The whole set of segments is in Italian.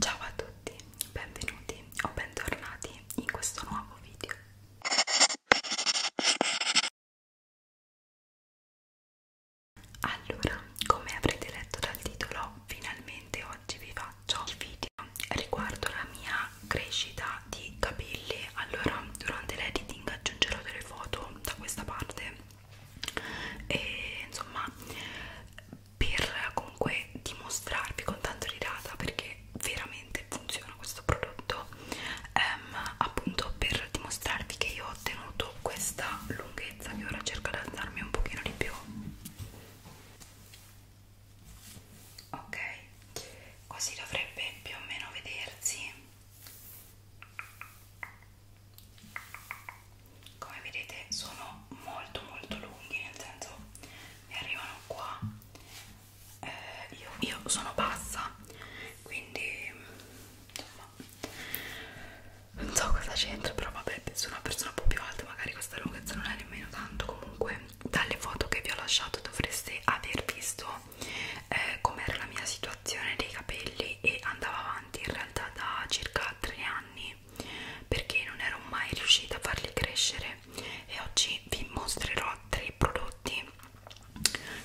Ciao a tutti, benvenuti o bentornati in questo nuovo video. Allora, come avrete letto dal titolo, finalmente oggi vi faccio il video riguardo la mia crescita di capelli. Allora, durante l'editing aggiungerò delle foto da questa parte e insomma per comunque dimostrarvi con tanto di data perché veramente funziona questo prodotto ehm, appunto per dimostrarvi che io ho ottenuto questa lunghezza che ora cerco di alzarmi un pochino di più ok così dovrebbe più o meno vedersi come vedete sono molto molto lunghi nel senso ne arrivano qua eh, io, io sono bassa quindi insomma non so cosa c'entra però vabbè penso una persona un po' più alta magari questa lunghezza non è nemmeno tanto comunque dalle foto che vi ho lasciato dovreste aver visto eh, com'era la mia situazione dei capelli e andava avanti in realtà da circa tre anni perché non ero mai riuscita a farli crescere e oggi vi mostrerò tre prodotti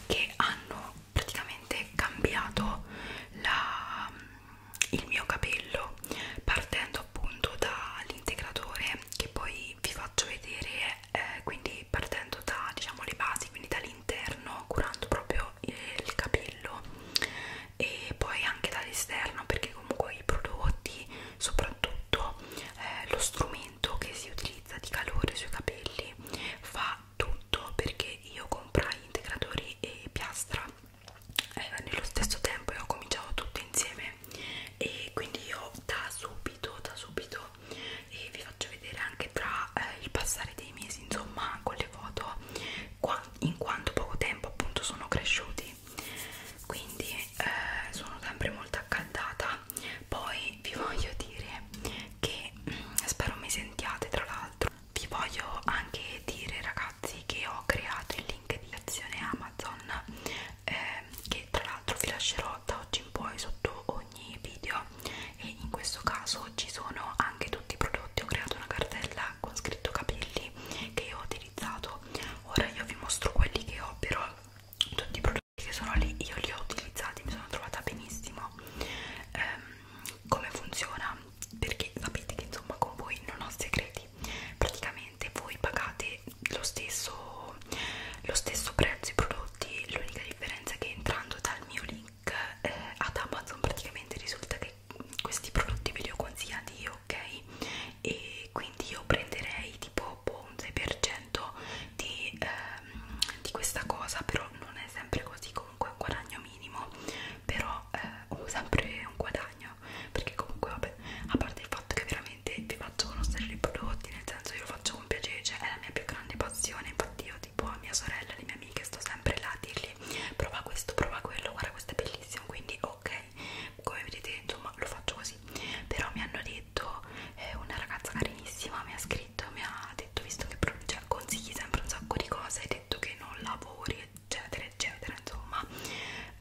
che hanno praticamente cambiato la, il mio capello partendo appunto dall'integratore che poi vi faccio vedere eh, quindi partendo da diciamo le basi quindi dall'interno curando proprio eh, il capello e poi anche dall'esterno perché comunque i prodotti soprattutto eh, lo strumento che si utilizza di calore sui capelli fa tutto perché io comprai integratori e piastra eh, nello stesso tempo e ho cominciato tutto insieme e quindi io da subito da subito e vi faccio vedere anche tra eh, il passare dei mesi insomma con le foto in quanto poco tempo appunto sono cresciuti quindi eh, sono sempre molto accaldata poi vi voglio dire che mh, mm, spero mi sentiate tra l'altro vi voglio anche dire ragazzi che ho creato il link di azione Amazon eh, che tra l'altro vi lascerò da oggi in poi sotto ogni video e in questo caso ci sono anche tutti i prodotti ho creato una cartella con scritto capelli che io ho utilizzato ora io vi mostro quelli che ho però tutti i prodotti che sono lì io li ho utilizzati mi sono trovata benissimo ehm, come funziona perché sapete che insomma con voi non ho segreti praticamente voi pagate lo stesso lo stesso prezzo i prodotti l'unica differenza è che entrando dal mio link eh, ad Amazon praticamente risulta che questi prodotti ve li ho consigliati io ok e quindi io prenderei tipo boh, un 6% di, ehm, di questa cosa però non è sempre così comunque è un guadagno minimo però eh, ho sempre un guadagno perché comunque vabbè a parte il fatto che veramente vi faccio conoscere i prodotti nel senso io lo faccio con piacere cioè è la mia più grande passione infatti io tipo a mia sorella e alle mie amiche sto sempre là a dirgli prova questo prova quello guarda questo è bellissimo quindi ok ok come vedete insomma lo faccio così però mi hanno detto eh, una ragazza carinissima mi ha scritto mi ha detto visto che cioè, consigli sempre un sacco di cose hai detto che non lavori eccetera eccetera insomma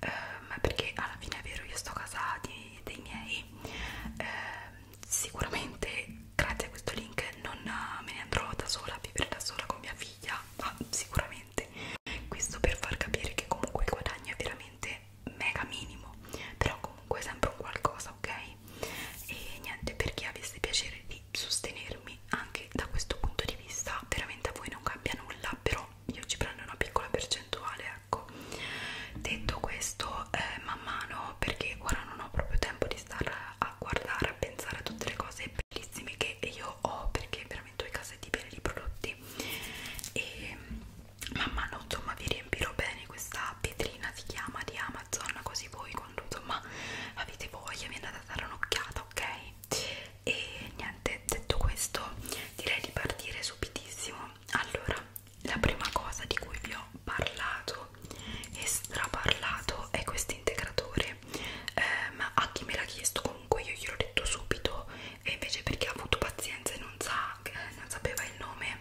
ehm, perché alla fine è vero io sto casa di, dei miei ehm, sicuramente grazie a questo link non me ne andrò da sola a vivere da sola con mia figlia ma sicuramente veramente questo per far capire che comunque il guadagno è veramente mega minimo però comunque è sempre un qualcosa ok e niente per chi avesse piacere di sostenermi anche da questo punto di vista veramente a voi non cambia nulla però io ci prendo una piccola percentuale ecco detto questo eh, man mano perché ora non ho proprio tempo di stare a guardare a pensare a tutte le cose bellissime che io ho perché veramente veramente ho i cassetti pieni di prodotti e man mano insomma vi riempirò bene questa pietrina si chiama di Amazon così voi quando insomma avete voglia vi andate a dare un'occhiata ok e niente detto questo direi di partire subitissimo allora la prima cosa di cui vi ho parlato e straparlato è questo integratore eh, ma a chi me l'ha chiesto comunque io gliel'ho detto subito e invece per chi ha avuto pazienza e non, sa, non sapeva il nome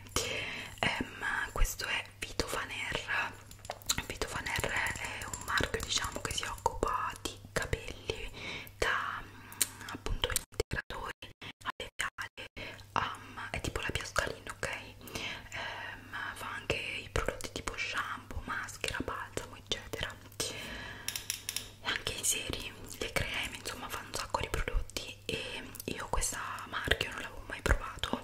ehm, questo è Vito Faner Vito Faner è un marchio diciamo che si occupa di capelli da mm, appunto integratori alleviali um, è tipo la piascalina ok ehm, fa anche i prodotti tipo shampoo maschera balsamo eccetera anche i seri, le creme, insomma fanno un sacco di prodotti e io questa marca non l'avevo mai provato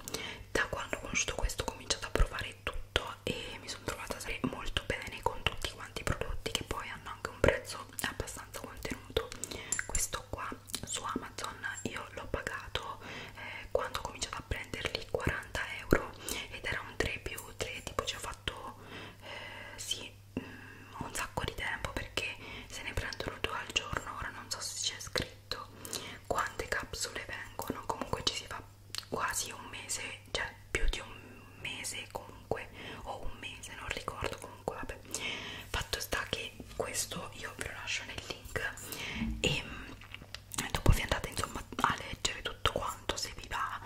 da quando ho conosciuto questo ho cominciato a provare tutto e mi sono trovata molto bene con tutti quanti i prodotti che poi hanno anche un prezzo abbastanza contenuto questo qua su Amazon io l'ho pagato eh, quando ho cominciato a prenderli 40 euro ed era un 3 più 3 tipo ci ho fatto eh, sì un sacco di tempo perché se ne prendono due al giorno ora non so se c'è scritto quante capsule vengono comunque ci si fa quasi un mese cioè più di un mese comunque o un mese non ricordo comunque vabbè fatto sta che questo io ve lo lascio nel link e mm, dopo vi andate insomma a leggere tutto quanto se vi va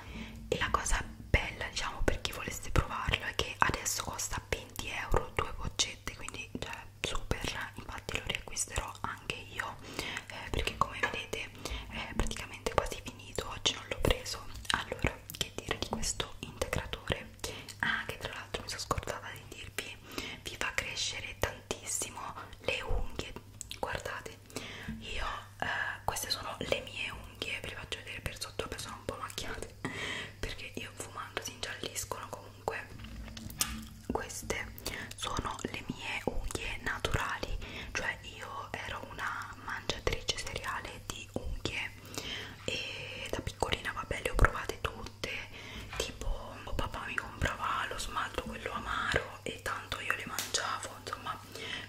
e la cosa bella diciamo per chi volesse provarlo è che adesso costa 20 euro due boccette quindi cioè, super infatti lo riacquisterò anche io eh, perché come vedete è praticamente quasi finito oggi non l'ho preso allora che dire di questo integratore ah che tra l'altro mi sono scordata di dirvi vi fa crescere tantissimo le unghie guardate io eh, queste sono le mie unghie ve le faccio vedere per sotto perché sono un po' macchiate perché io fumando si ingialliscono comunque queste sono le mie unghie naturali cioè io ero una mangiatrice seriale di unghie e da piccolina vabbè le ho provate tutte tipo oh, papà mi comprava lo smalto quello amaro e tanto io le mangiavo insomma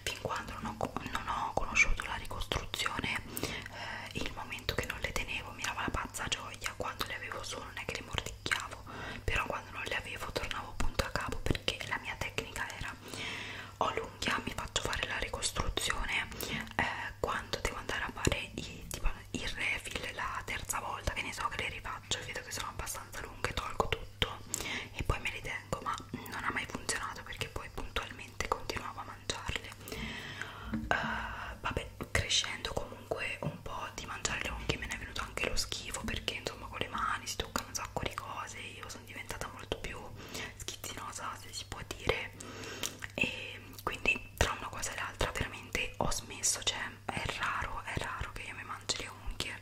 fin quando non ho, non ho conosciuto la ricostruzione eh, il momento che non le tenevo mi dava la pazza gioia quando le avevo solo non è che le mordicchiavo però quando non le avevo tornavo punto a capo perché la mia tecnica era ho l'unghia mi faccio fare la ricostruzione eh, quando devo andare a fare i, tipo, il refill la terza volta che ne so che le rifaccio e vedo che sono abbastanza lunghe tolgo tutto e poi me li tengo ma non ha mai funzionato perché poi puntualmente continuavo a mangiarle uh, vabbè crescendo comunque un po' di mangiare le unghie me ne è venuto anche lo schifo perché insomma con le mani si toccano un sacco di cose io sono diventata molto più schizzinosa se si può dire e quindi tra una cosa e l'altra veramente ho smesso cioè è raro è raro che io mi mangi le unghie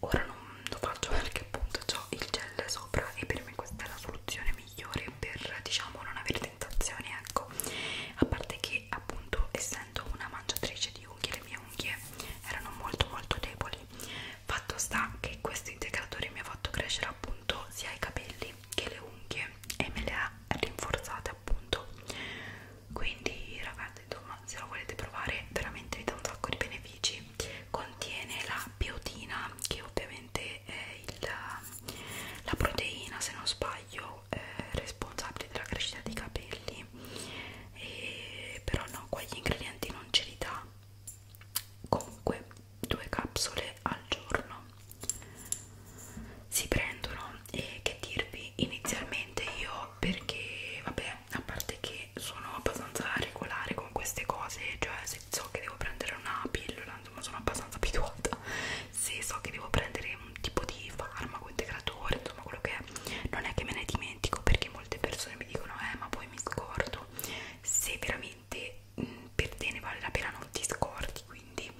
ora non lo faccio perché appunto ho il gel sopra e per me questa è la soluzione migliore per diciamo non avere tentazioni ecco a parte che appunto essendo una mangiatrice di unghie le mie unghie erano molto molto deboli fatto sta che questo integratore mi ha fatto crescere appunto sia i capelli che le unghie e me le ha rinforzate appunto quindi ragazzi insomma se lo volete provare veramente vi dà un sacco di benefici contiene la biotina che ovviamente è il, la proteina se non sbaglio eh, responsabile della crescita dei capelli e, però no qua gli ingredienti non ce li dà comunque due capsule al giorno si prendono e che dirvi inizialmente io perché vabbè a parte che sono abbastanza regolare con queste cose cioè se so che devo prendere una pillola, insomma sono abbastanza abituata, se so che devo prendere un tipo di farmaco integratore, insomma quello che è, non è che me ne dimentico perché molte persone mi dicono eh ma poi mi scordo, se veramente mh, mm, per te ne vale la pena non ti scordi, quindi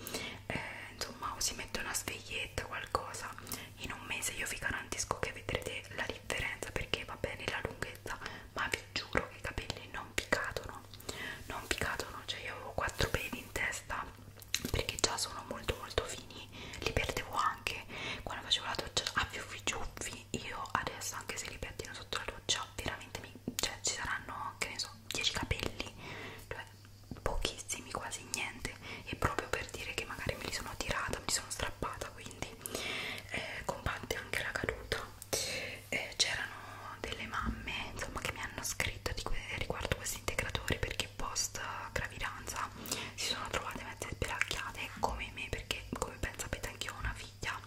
eh, insomma o si mette una sveglietta qualcosa, in un mese io vi garantisco che vedrete la differenza perché va bene la lunghezza ma vi giuro che i capelli non non picatono non picatono cioè io avevo quattro peli in testa perché già sono molto molto fini li perdevo anche quando facevo la doccia a fiuffi giuffi io adesso anche se li pettino sotto la doccia veramente mi, cioè ci saranno che ne so 10 capelli cioè pochissimi quasi niente e proprio per dire che magari me li sono tirata mi sono strappata quindi eh, combatte anche la caduta eh, c'erano delle mamme insomma che mi hanno scritto di que riguardo questi integratori perché post gravidanza si sono trovate mezze sbelacchiate come me perché come ben sapete anch'io ho una figlia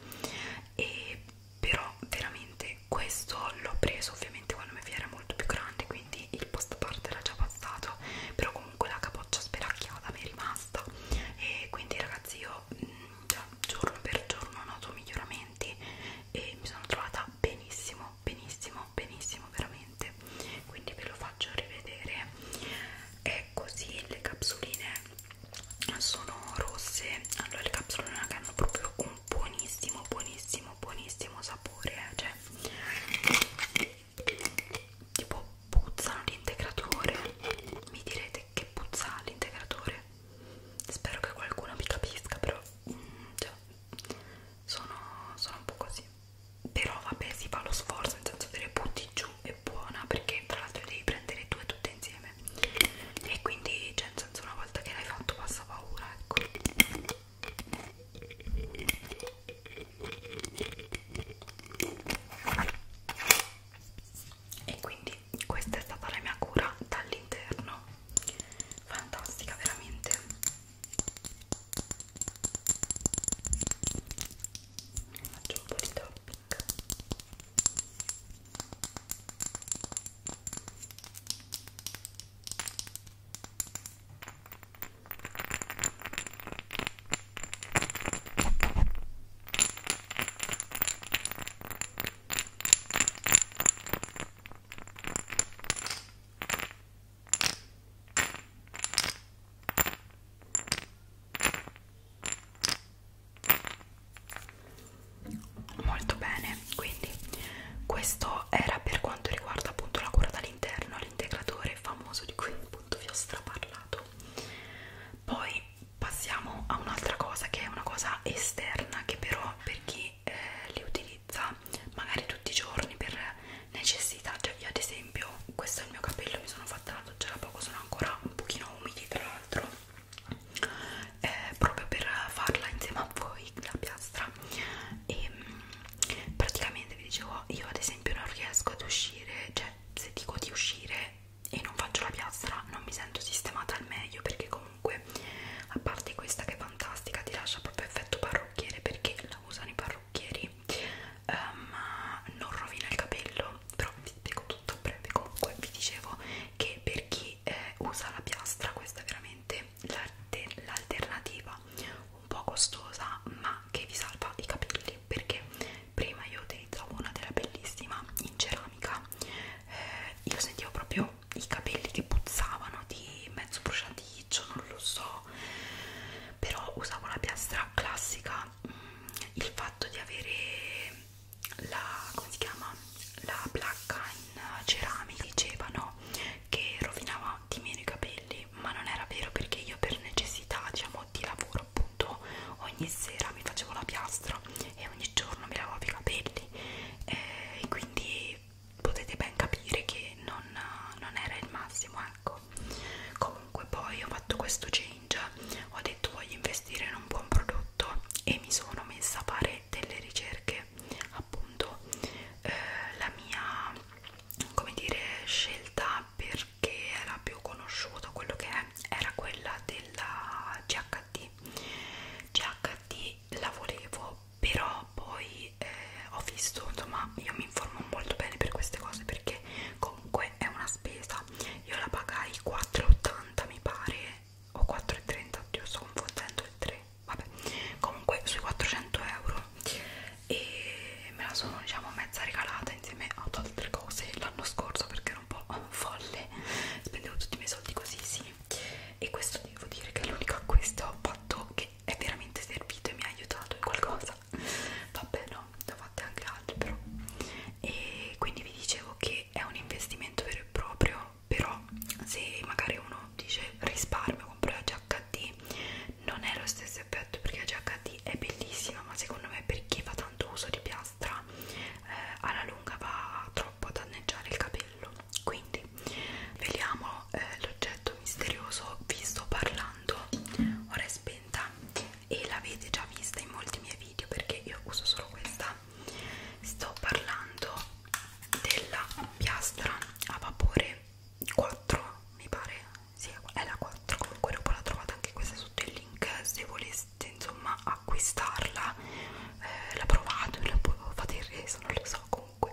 e però veramente questo l'ho preso ovviamente quando mia figlia era molto più grande quindi il post parte era già passato però comunque la capoccia speracchiata mi è rimasta e quindi ragazzi io mh, mm, giorno per giorno noto miglioramenti commenti e mi sono trovata benissimo benissimo benissimo veramente quindi ve lo faccio rivedere è così le capsuline sono rosse allora le capsuline che hanno proprio un buonissimo buonissimo buonissimo sapore eh. cioè tipo puzzano l'integratore mi direte che puzza l'integratore spero che qualcuno mi capisca però mm, cioè, sono, sono un po' così però vabbè si fa lo sforzo nel senso te le butti giù è buona perché tra l'altro devi prendere due tutte insieme e quindi cioè nel senso una volta che l'hai fatto passa paura ecco e quindi questa è stata la mia cura dall'interno fantastica veramente faccio un po' di topping Molto bene, quindi questo era per quanto riguarda appunto la cura dall'interno, l'integratore famoso di cui appunto vi ho straparlato. Poi passiamo a un'altra cosa che è una cosa esterna che però per chi eh, li utilizza magari tutti i giorni per necessità cioè io ad esempio questo è il mio capello mi sono fatta la doccia da poco sono ancora un pochino umidi tra l'altro eh, proprio per farla insieme a voi la piastra e mm, praticamente vi dicevo io ad esempio non riesco ad uscire cioè se dico di uscire e non faccio la piastra non mi sento sistemata al meglio perché comunque comunque a parte questa che è fantastica ti lascia proprio effetto parrucchiere perché la usano i parrucchieri ehm, ma um, non rovina il capello però vi spiego tutto a breve comunque vi dicevo che per chi eh, usa la piastra questa è veramente l'alternativa un po' costosa ma che vi salva i capelli perché prima io utilizzavo una della bellissima in ceramica eh, io sentivo proprio i capelli che puzzavano di mezzo bruciaticcio, non lo so, però usavo la piastra classica, mm, il fatto di avere la, come si chiama, la placca in ceramica, dicevano che rovinava di meno i capelli, ma non era vero perché io per necessità, diciamo, di lavoro appunto ogni sera mi facevo la piastra e ogni giorno mi lavavo i capelli eh, e quindi potete ben capire che non, non era il massimo ecco comunque poi ho fatto questo change ho detto voglio investire in un buon prodotto e mi sono messa a fare delle ricerche appunto eh, la mia come dire scelta perché era più conosciuto quello che è era quella della GHD GHD e la volevo però poi eh, ho visto insomma io mi informo molto bene per queste cose perché comunque è una spesa io la pagai 4,80 mi pare o 4,30 oddio sto confondendo il 3 vabbè comunque sui 400 euro e me la sono diciamo mezza regalata insieme ad altre cose l'anno scorso perché ero un po' folle spendevo tutti i miei soldi così sì e questo devo dire che è l'unico acquisto che ho fatto che è veramente servito e mi ha aiutato in qualcosa vabbè no, ne ho fatte anche altre però e quindi vi dicevo che è un investimento vero e proprio però se magari uno dice risparmio compro la GHD non è lo stesso effetto perché la GHD è bellissima ma secondo me per chi fa tanto uso di piastra eh, alla lunga va troppo a danneggiare il capello quindi vediamo eh, l'oggetto misterioso vi sto parlando ora è spenta e l'avete già vista in molti miei video perché io uso solo questa sto parlando della piastra a vapore 4 mi pare sì, è la 4 comunque dopo la trovate anche questa sotto il link se voleste insomma acquistarla eh, l'ha provato e la fate il reso, non lo so comunque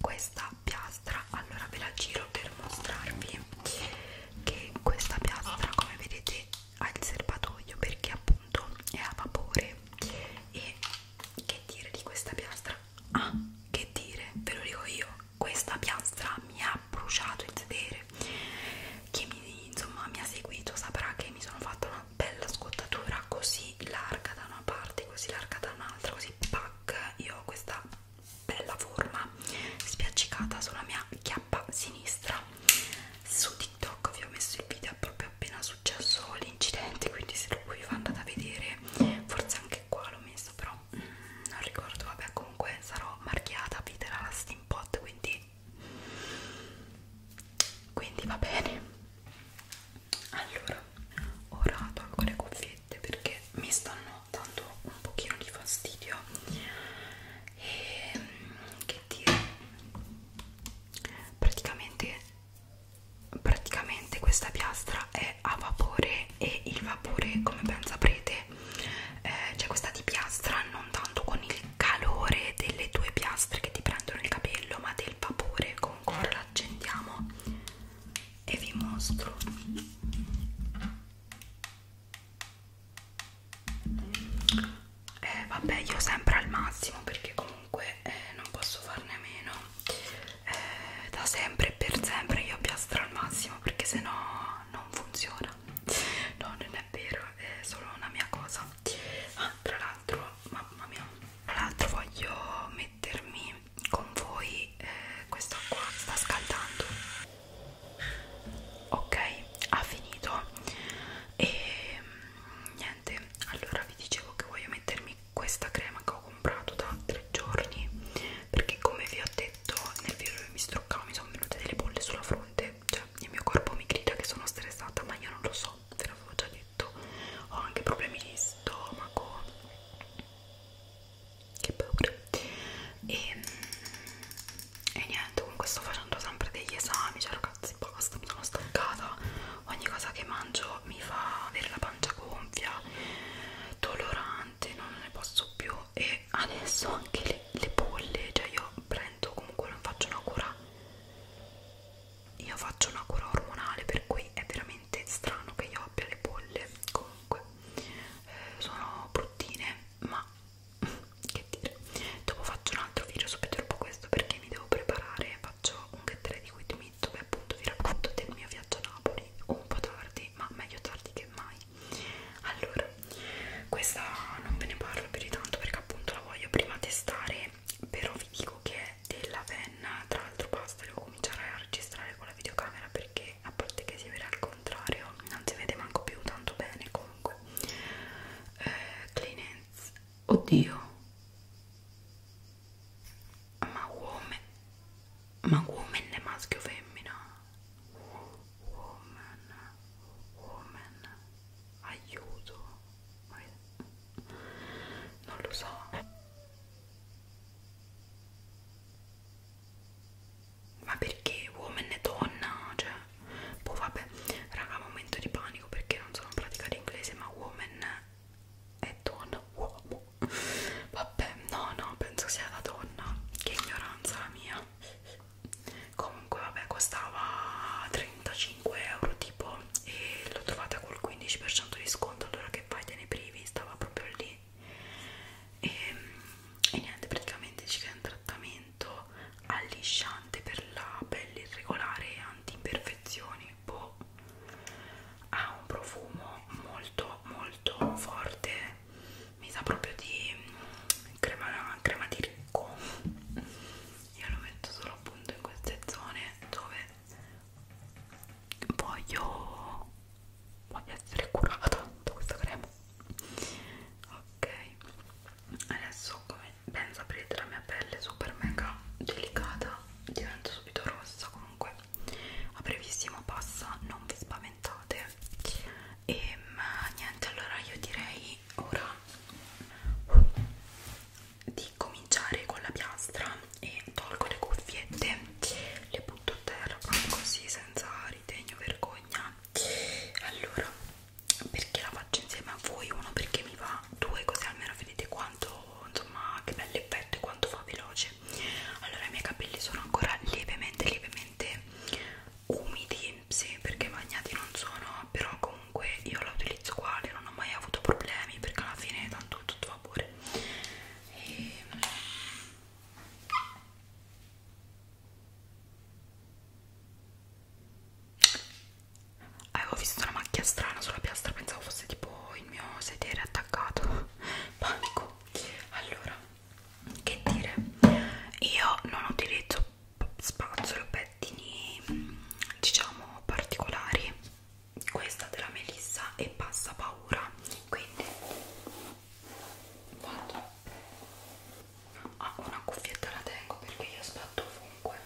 questa piastra, allora ve la giro per mostrarvi che questa piastra come vedete ha il serbatoio perché appunto è a vapore e che dire di questa piastra? Ah, che dire, ve lo dico io, questa piastra mi ha bruciato il sedere. Chi mi, insomma, mi ha seguito saprà che mi sono fatta una una bella scottatura così larga da una parte, così larga da un'altra, così pac, io ho questa bella forma spiaccicata sulla mia chiappa sinistra. Su TikTok vi ho messo il video proprio appena successo l'incidente, quindi se lo voi andate a vedere, forse anche qua l'ho messo, però mm, non ricordo, vabbè comunque sarò marchiata, vi darà la steampot, quindi quindi va bene allora ora tolgo le cuffiette perché mi stanno dando un pochino di fastidio e ehm, che dire praticamente praticamente questa piastra è a vapore e il vapore come ben saprete eh, cioè questa di piastra non tanto con il calore delle tue piastre che ti prendono il capello ma del vapore ancora l'accendiamo e vi mostro eh, vabbè io sempre al massimo perché comunque eh, non posso farne meno eh, da sempre e per sempre io piastro al massimo perché sennò non funziona no non è vero è solo una mia cosa ah, tra l'altro mamma mia tra l'altro voglio mettermi con voi eh, questa qua sta scaldando ok ha finito e mm, niente allora vi dicevo che voglio mettermi questa crema che ho comprato da tre giorni perché come vi ho detto nel video dove mi struccavo mi sono venute delle bolle sulla fronte cioè il mio corpo mi grida che sono stressata ma io non lo so te l'avevo già detto ho anche problemi di stomaco che paura e, mm, e niente comunque sto facendo sempre degli esami cioè ragazzi basta mi sono stancata ogni cosa che mangio mi fa avere la pancia gonfia dolorante non ne posso più e adesso anche le, le bolle cioè io prendo comunque non faccio una cura io faccio una cura ormonale per cui è veramente strano che io abbia le bolle comunque eh, sono bruttine ma che dire dopo faccio un altro video subito dopo questo perché mi devo preparare faccio un get ready with me dove appunto vi racconto del mio viaggio a Napoli un po' tardi ma meglio tardi che mai allora questa non ve ne parlo più di tanto perché appunto la voglio prima testare però vi dico che è della penna tra l'altro basta devo cominciare a registrare con la videocamera perché a parte che si vede al contrario non si vede manco più tanto bene comunque eh, Kleenex oddio ma woman ma woman è maschio o femmina? woman woman aiuto non lo so ma perché woman e donna cioè boh vabbè raga momento di panico perché non sono in pratica l'inglese ma woman è donna uomo vabbè no no penso sia la donna che ignoranza la mia comunque vabbè costava 35 5 euro tipo e l'ho trovata col 15% di sconto allora che fai te ne privi stava proprio lì e, ehm, e niente praticamente ci un trattamento allisciante per la pelle irregolare e anti imperfezioni boh. ha un profumo molto molto forte mi sa proprio di crema, crema di ricco io lo metto solo appunto in queste zone dove voglio voglio essere curata da questa crema ok adesso come ben saprete la mia pelle è super mega delicata diventa subito rossa comunque a brevissimo passa non vi spaventate e ma, niente allora io direi ora di cominciare con la piastra e tolgo le cuffiette, le butto a terra proprio così senza ritegno vergogna. Allora, perché la faccio insieme a voi? Uno perché mi va, due così almeno vedete quanto, insomma, che bello effetto e quanto fa veloce. Allora, i miei capelli sono ancora lievemente, lievemente umidi, sì, perché bagnati non sono, però comunque io la utilizzo uguale, non ho mai avuto problemi perché alla fine tanto tutto va vapore e... avevo visto una macchia strana sulla piastra pensavo fosse tipo il mio sedere attaccato panico allora che dire io non utilizzo spazzolo pettini diciamo particolari questa della Melissa e passa paura quindi vado ah, una cuffietta la tengo perché io sbatto ovunque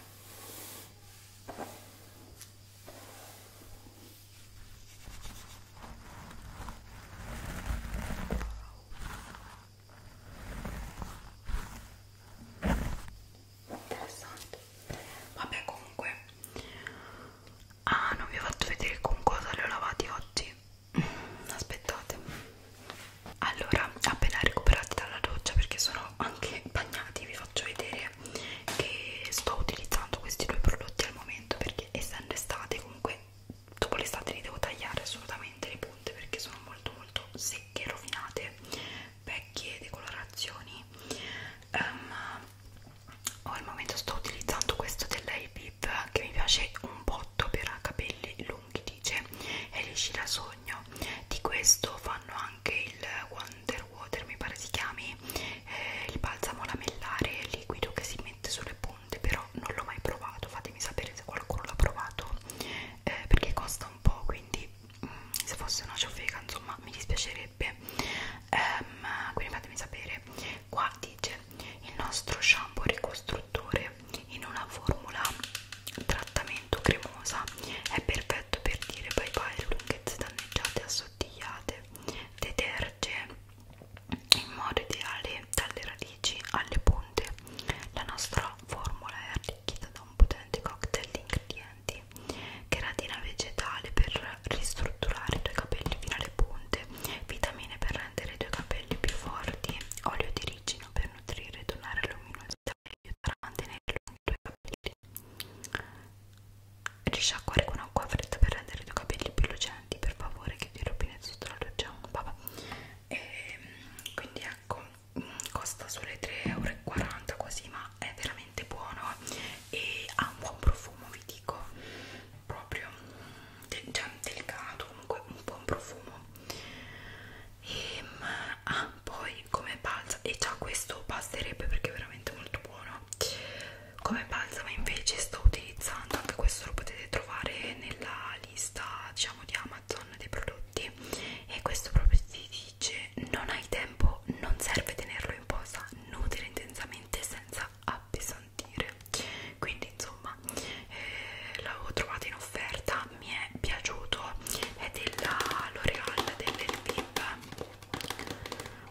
interessante vabbè comunque ah non vi ho fatto vedere con cosa li ho lavati oggi mm, aspettate allora appena recuperati dalla doccia perché sono anche bagnati vi faccio vedere che sto utilizzando questi due prodotti al momento perché essendo estate comunque dopo l'estate li devo tagliare assolutamente le punte perché sono molto molto secche rovinate vecchie decolorazioni um, o al momento sto utilizzando questo dell'Aipip che mi piace un botto per capelli lunghi dice e lisci da sogno di questo fanno anche il Wonder Water mi pare si chiami eh, il balsamo lamellare liquido che si mette sulle punte però non l'ho mai provato fatemi sapere se qualcuno l'ha provato eh, perché costa un po' quindi mm, se fosse una ciofeca insomma mi dispiacerebbe piacerebbe um, ehm, quindi fatemi sapere qua dice il nostro shampoo ricostruttore in una formula trattamento cremosa è perfetto per dire bye bye le lunghezze danneggiate e assottigliate deterge in modo ideale dalle radici alle punte la nostra formula è arricchita da un potente cocktail di ingredienti nutrienti, cheratina vegetale per ristrutturare i tuoi capelli fino alle punte, vitamine per rendere i tuoi capelli più forti, olio di ricino per nutrire e donare luminosità che aiuterà a mantenere lunghi i tuoi capelli. Risciacquare con acqua fredda per rendere i tuoi capelli più lucenti, per favore che ti rovine sotto la doccia. Vabbè. E, quindi ecco, costa solo 3,40 euro così, ma è veramente veramente buono e ha un buon profumo vi dico proprio de cioè, delicato comunque un buon profumo e ehm, ah, poi come balsamo e già questo basterebbe perché è veramente molto buono come balsamo invece sto utilizzando anche questo lo potete trovare nella lista diciamo di Amazon dei prodotti e questo proprio ti dice non hai tempo, non serve tenerlo in posa, nutre intensamente senza appesantire. Quindi, insomma, eh, l'avevo trovato in offerta, mi è piaciuto. È della L'Oreal dell'Elviv,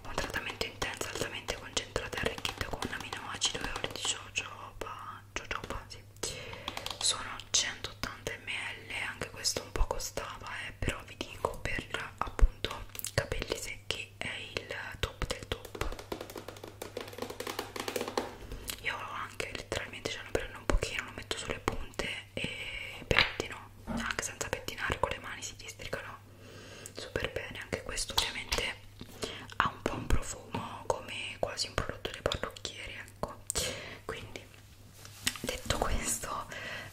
un trattamento intenso, altamente concentrato e arricchito con aminoacido e olio di jojoba. jojoba sì. Sono 180 ml, anche questo un po' costava, eh, però vi dico per appunto appunto capelli secchi è il top del top io anche letteralmente ce lo cioè, prendo un pochino lo metto sulle punte e pettino anche senza pettinare con le mani si districano super bene anche questo ovviamente ha un po' un profumo come quasi un prodotto dei parrucchieri ecco quindi detto questo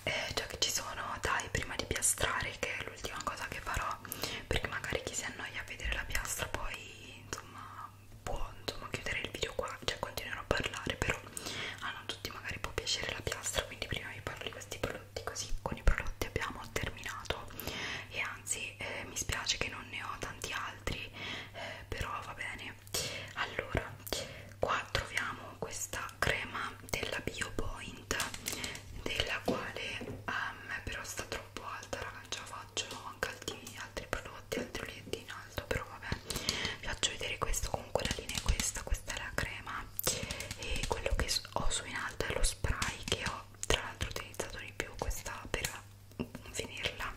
eh, già che ci sono dai prima di piastrare che è l'ultima cosa che farò perché magari chi si annoia a vedere la piastra poi insomma può insomma, chiudere il video qua cioè continuerò a parlare però a non tutti magari può piacere la piastra quindi prima vi parlo di questi prodotti così con i prodotti abbiamo terminato e anzi eh, mi spiace che non ne ho tanti altri eh, però va bene allora qua troviamo questa crema della BioPoint della quale a ehm, me però sta troppo alta raga non ce la faccio anche altri, altri prodotti altri olietti in alto però vabbè vi faccio vedere questo comunque la linea è questa questa è la crema e quello che ho su in alto è lo spray che ho tra l'altro utilizzato di più questa per finirla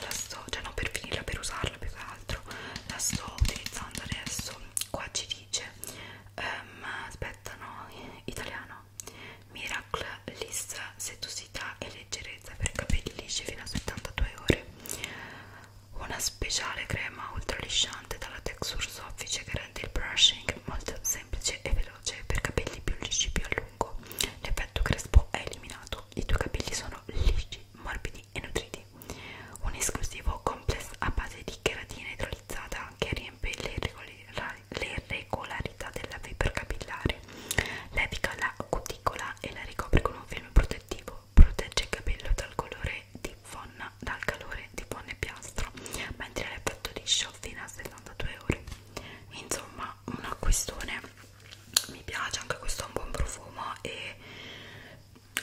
la sto cioè non per finirla per usarla più che altro la sto utilizzando adesso qua ci dice um, aspetta no italiano miracle lissa setosità e leggerezza per capelli lisci fino a 72 ore una speciale crema ultra lisciante dalla texture soffice che rende il brushing molto semplice e veloce per capelli più lisci più a lungo l'effetto crespo è eliminato i tuoi capelli sono lisci morbidi e nutriti un esclusivo complesso a base di cheratina idrolizzato personalizzata che riempie le irregolarità della fibra capillare, levica la cuticola e la ricopre con un film protettivo, protegge il capello dal colore di fonna, dal calore di fonna e piastra, mentre l'effetto liscio fino a 72 ore. Insomma, una questione mi piace anche questo è un buon profumo e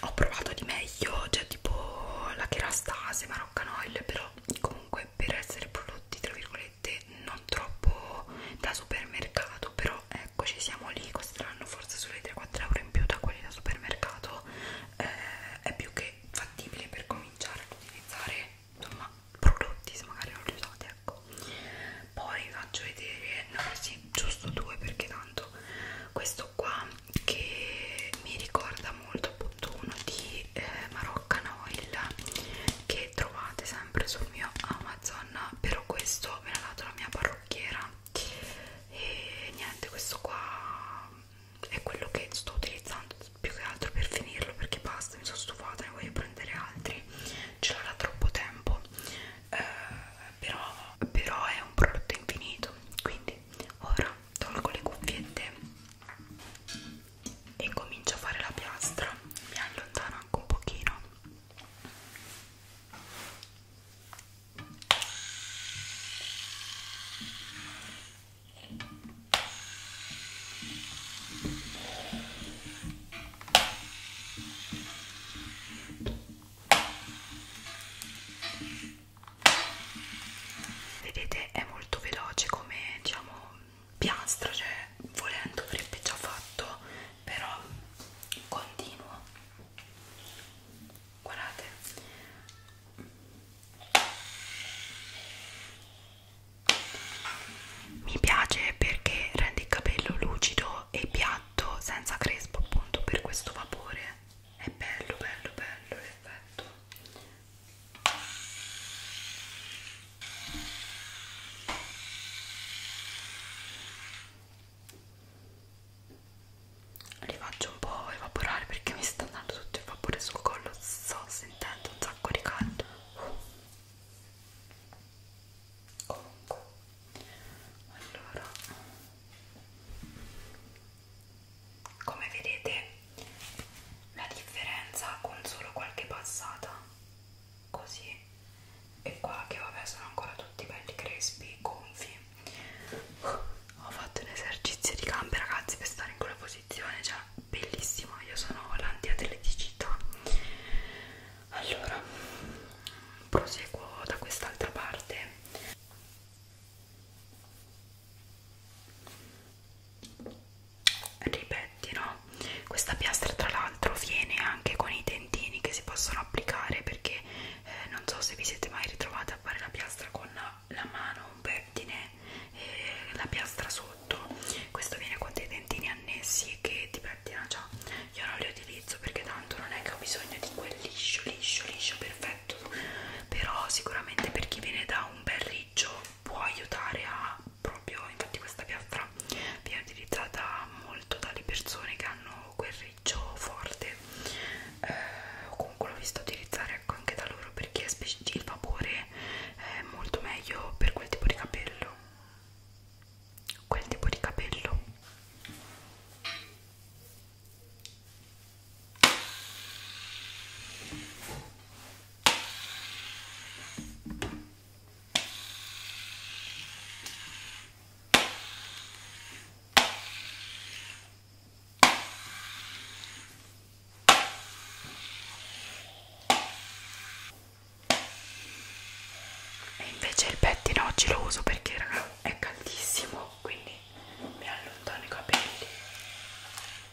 ho provato di meglio, cioè tipo la cherastase, Maroccanoil, però comunque per essere prodotti tra virgolette non troppo da supermercato, però eccoci siamo lì, costeranno forse sulle 3-4 euro in più da quelli da supermercato, eh, è più che fattibile per cominciare ad utilizzare insomma prodotti se magari non li usate, ecco. Poi vi faccio vedere, no sì, giusto due perché tanto questo qua che mi ricorda molto appunto uno di eh, Maroccan Oil che trovate sempre sul mio Amazon però questo me l'ha dato la mia parrucchiera e niente questo qua è quello che sto utilizzando più che altro per finirlo perché basta mi sono stufata ne voglio prendere altri ce l'ho da troppo tempo eh, però, però è un prodotto infinito quindi ora tolgo le cuffiette e comincio a fare la piastra mi allontano anche un pochino vedete è molto veloce come diciamo piastra cioè volendo avrebbe già fatto però continuo guardate mi piace perché rende il capello lucido e piatto senza crespo appunto per questo vapore è bello bello bello l'effetto li faccio un po' evaporare perché mi sta andando tutto il vapore sul collo sto sentendo un sacco di caldo comunque allora come vedete la differenza con solo qualche passata così e qua che vabbè sono ancora tutti belli crespi gonfi ho fatto un esercizio di gambe ragazzi per stare in quella posizione cioè bellissima io sono l'antiatleticità allora proseguo da quest'altra parte ripettino questa piastra tra l'altro viene anche con i dentini che si possono applicare perché eh, non so se vi siete mai ritrovati a fare la piastra con la mano un pettine e eh, la piastra sotto questo viene con dei dentini annessi che ti pettina già io non li utilizzo perché tanto non è che ho bisogno di quel liscio liscio liscio perfetto perfetto però sicuramente per chi viene da un bel riccio può aiutare a proprio infatti questa piastra viene utilizzata molto dalle persone che hanno quel riccio forte eh, o comunque l'ho vista utilizzare ecco, anche da loro perché il vapore è molto meglio per quel tipo di capello quel tipo di capello e invece il pettine oggi lo uso perché raga, è caldissimo, quindi mi allontano i capelli.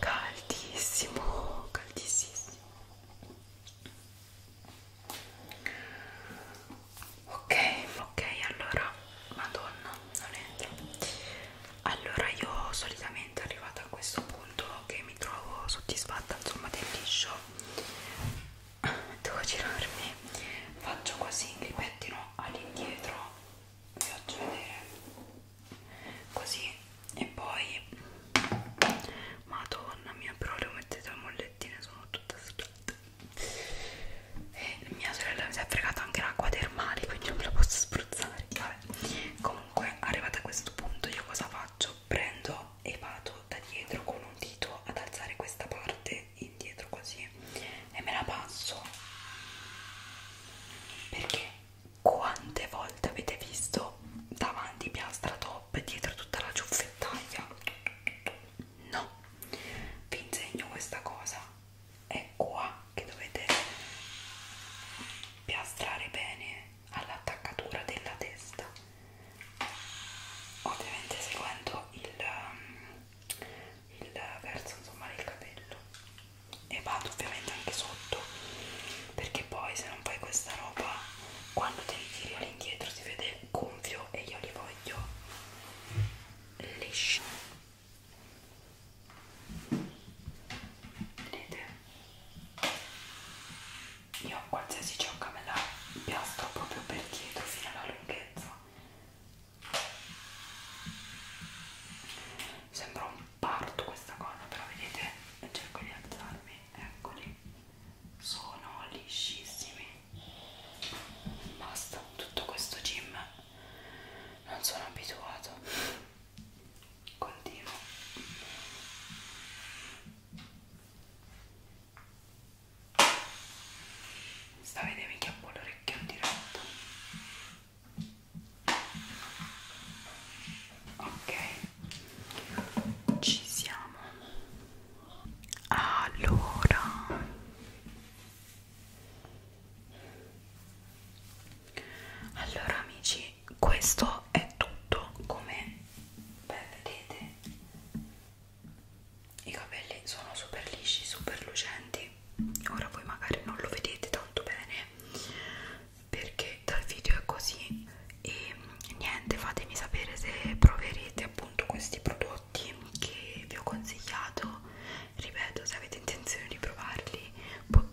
caldissimo caldissimo ok ok allora madonna non entro allora io solitamente arrivata a questo punto che mi trovo soddisfatta insomma del liscio devo girarmi faccio così il ripettino all'indietro vi faccio vedere così e poi madonna mia però le ho mettete le mollettine sono tutte schiatte e mia sorella mi si è fregata anche l'acqua termale quindi non me la posso spruzzare vabbè comunque arrivata a questo punto io cosa faccio? prendo e vado da dietro con un dito ad alzare questa parte indietro così e me la passo perché quante volte avete visto davanti piastra top e dietro tutta la ciuffettaglia? No, vi insegno questa cosa, è qua che dovete piastrare bene all'attaccatura della testa, ovviamente seguendo il, um, il verso insomma del capello e vado ovviamente anche sotto perché poi se non fai questa roba quando te li tiri all'indietro si vede gonfio e io li voglio lisci vedete io qualsiasi ciocca me la piastro proprio per dietro fino alla lunghezza sembra un parto questa gonna però vedete cerco di alzarmi eccoli sono liscissimi basta tutto questo gym non sono abituato continuo sta vedendo mi chiappo l'orecchio in diretta ok ci siamo allora allora amici questo è tutto come beh, vedete i capelli sono super lisci super lucenti ora voi magari non lo vedete tanto bene perché dal video è così e niente fatemi sapere se proverete appunto questi prodotti che vi ho consigliato ripeto se avete intenzione di provarli po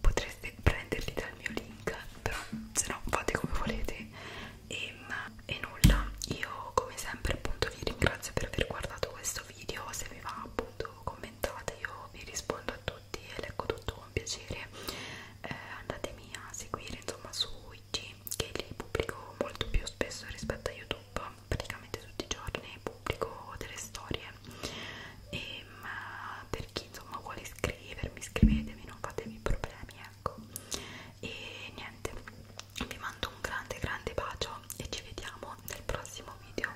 potreste prenderli dal mio link però se no fate come volete e, ehm, e nulla io come sempre appunto vi ringrazio per aver guardato questo video se vi va appunto commentate io vi rispondo saluto a tutti e leggo ecco tutto con piacere eh, andatemi a seguire insomma su IG che li pubblico molto più spesso rispetto a YouTube praticamente tutti i giorni pubblico delle storie e ma per chi insomma vuole iscrivermi iscrivetemi non fatevi problemi ecco e niente vi mando un grande grande bacio e ci vediamo nel prossimo video